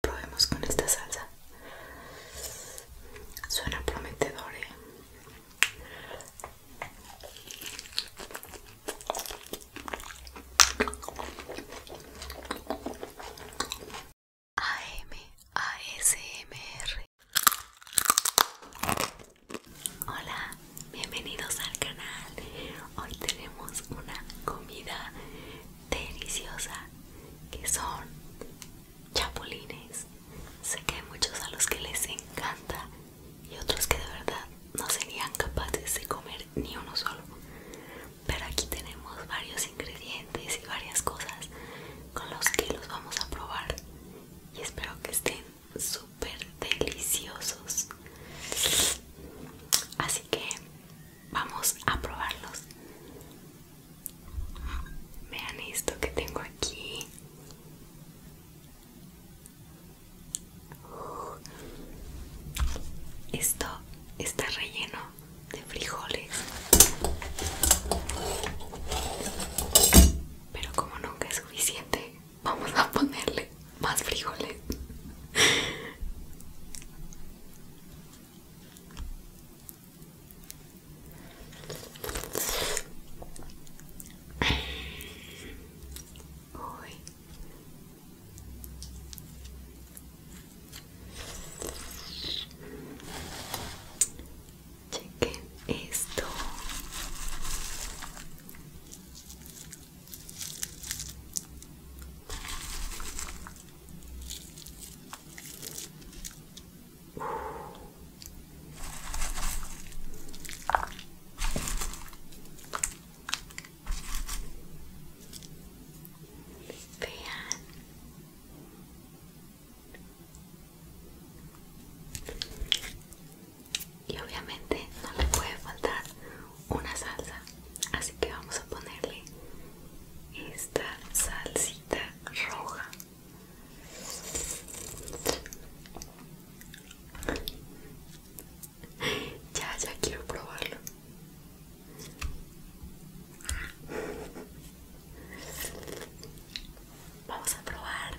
Probemos con esta salsa. Suena prometedor, ¿eh? ASMR. Hola, bienvenidos al canal. Hoy tenemos una comida deliciosa que son chapulines. Sé que hay muchos a los que les encanta y otros que de verdad no serían capaces de comer ni uno solo. Pero aquí tenemos varios ingredientes y varias cosas con los que los vamos a probar y espero que estén súper deliciosos. Así que Vamos a probarlos. Vean esto que tengo aquí. Uh. Esto está relleno de frijoles. Pero como nunca es suficiente, vamos a ponerle más frijoles. Oye, Chequen esto. Y obviamente no le puede faltar una salsa así que vamos a ponerle esta salsita roja ya ya quiero probarlo vamos a probar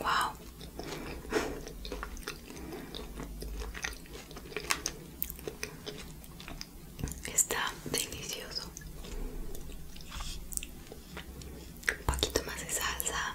Wow. Está delicioso. Un poquito más de salsa.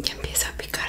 Ya empieza a picar.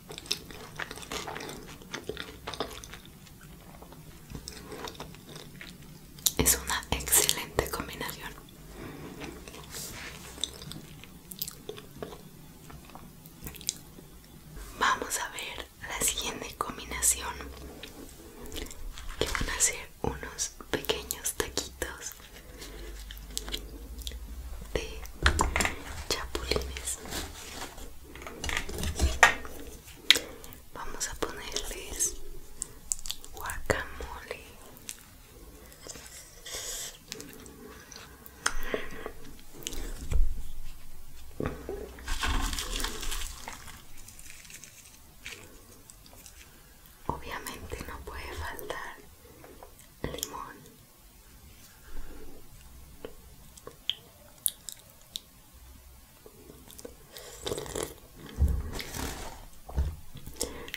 Es una excelente combinación. Vamos a ver la siguiente combinación que van a ser unos pequeños taquitos de chapulines Vamos a ponerles guacamole. Obviamente no puede faltar limón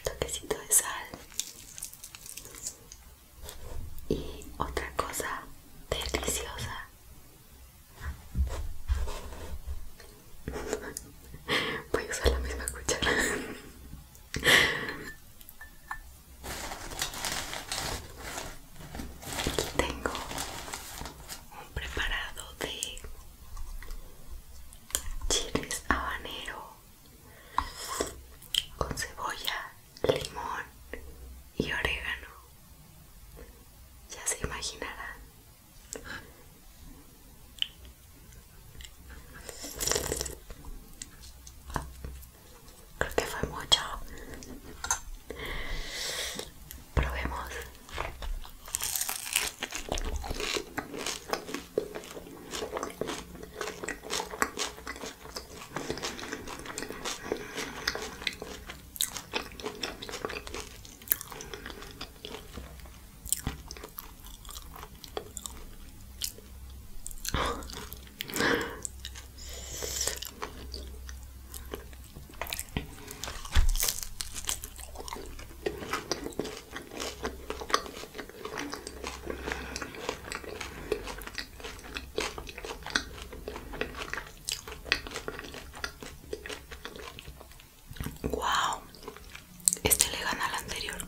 toquecito de sal y otra cosa deliciosa voy a usar la misma cuchara tengo un preparado de chiles habanero con cebolla, limón y orégano. Ya se imaginará. Creo que fue mucho. Probemos. Wow, este le gana al anterior.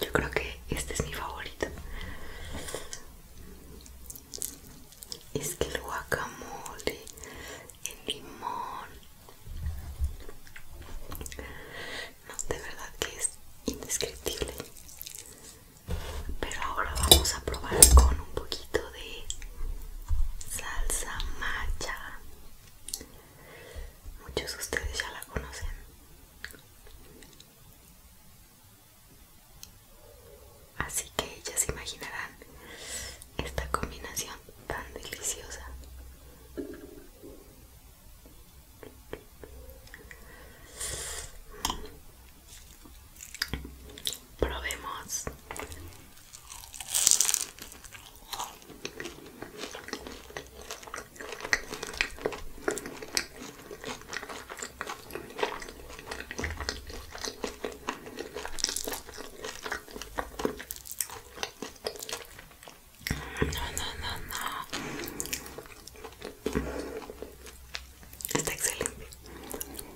Yo creo que este es mi favorito. Es que el guacamole, en limón. No, de verdad que es indescriptible. Pero ahora vamos a probar con un poquito de salsa macha. Muchos de ustedes ya la conocen. Así que ya se imaginarán esta combinación tan deliciosa. Probemos no, no. Está excelente.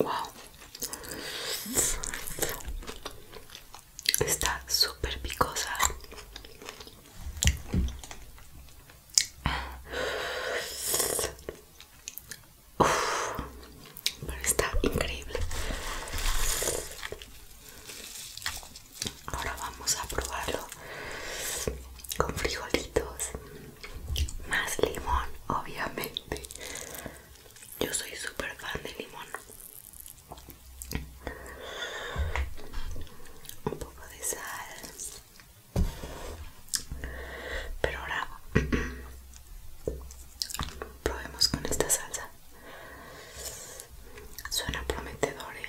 Wow. Está súper picosa. está increíble. Ahora vamos a probarlo con frijolitos. Más limón, obviamente. Yo soy súper fan de limón. Un poco de sal. Pero ahora probemos con esta salsa. Suena prometedor, ¿eh?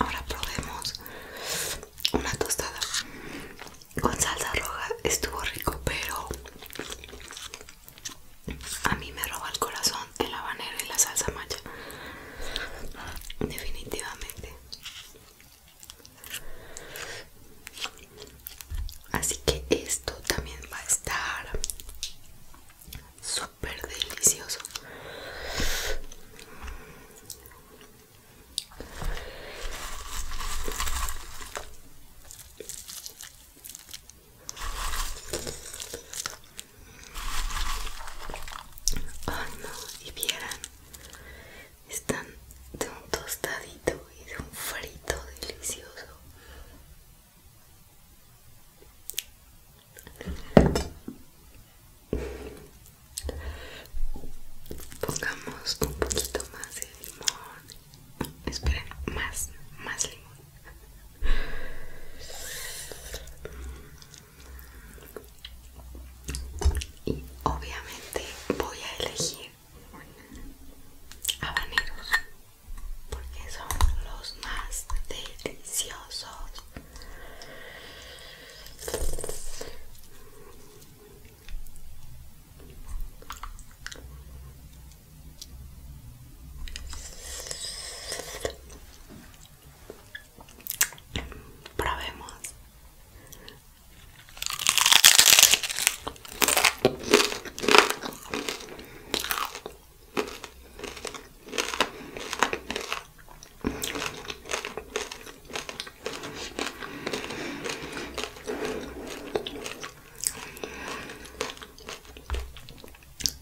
Ahora probemos una tostada con salsa roja. Estuvo rico, pero a mí me roba el corazón el habanero y la salsa maya Definitivamente. Así que esto también va a estar super delicioso. Ah, y vieran están de un tostadito y de un frito delicioso. Pongamos un poquito más de limón. Esperen, más, más limón y obviamente voy a elegir habaneros porque son los más deliciosos Probemos.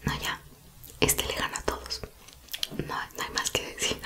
No, ya, este le gana a todos. No, no hay más que decir.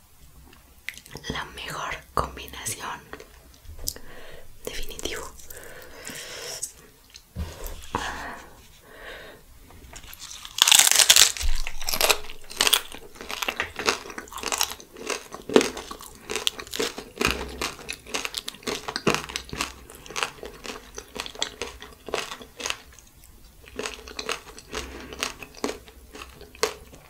la mejor combinación definitivo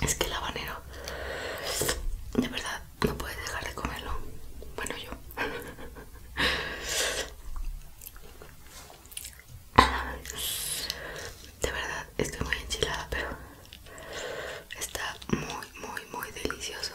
Es que el habanero, de verdad, no puedes dejar de comerlo. Bueno, yo. De verdad, estoy muy enchilada, pero está muy, muy, muy delicioso.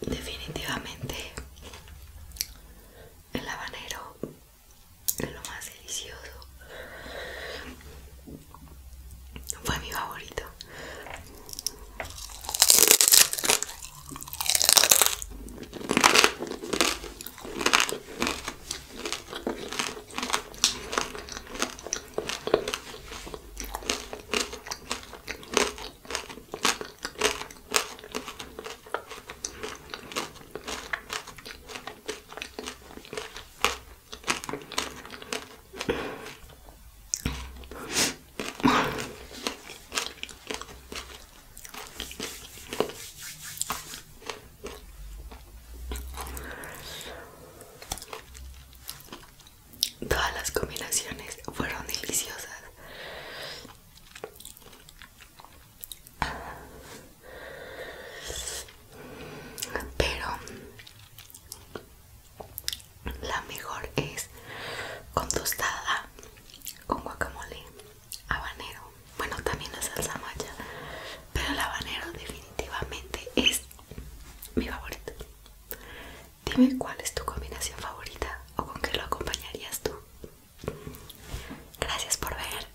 Definitivamente el habanero es lo más delicioso fue mi favorito Todas las combinaciones fueron deliciosas. Pero la mejor es con tostada, con guacamole, habanero. Bueno, también la salsa maya, pero el habanero definitivamente es mi favorito. Dime cuál es tu combinación favorita o con qué lo acompañarías tú. Gracias por ver.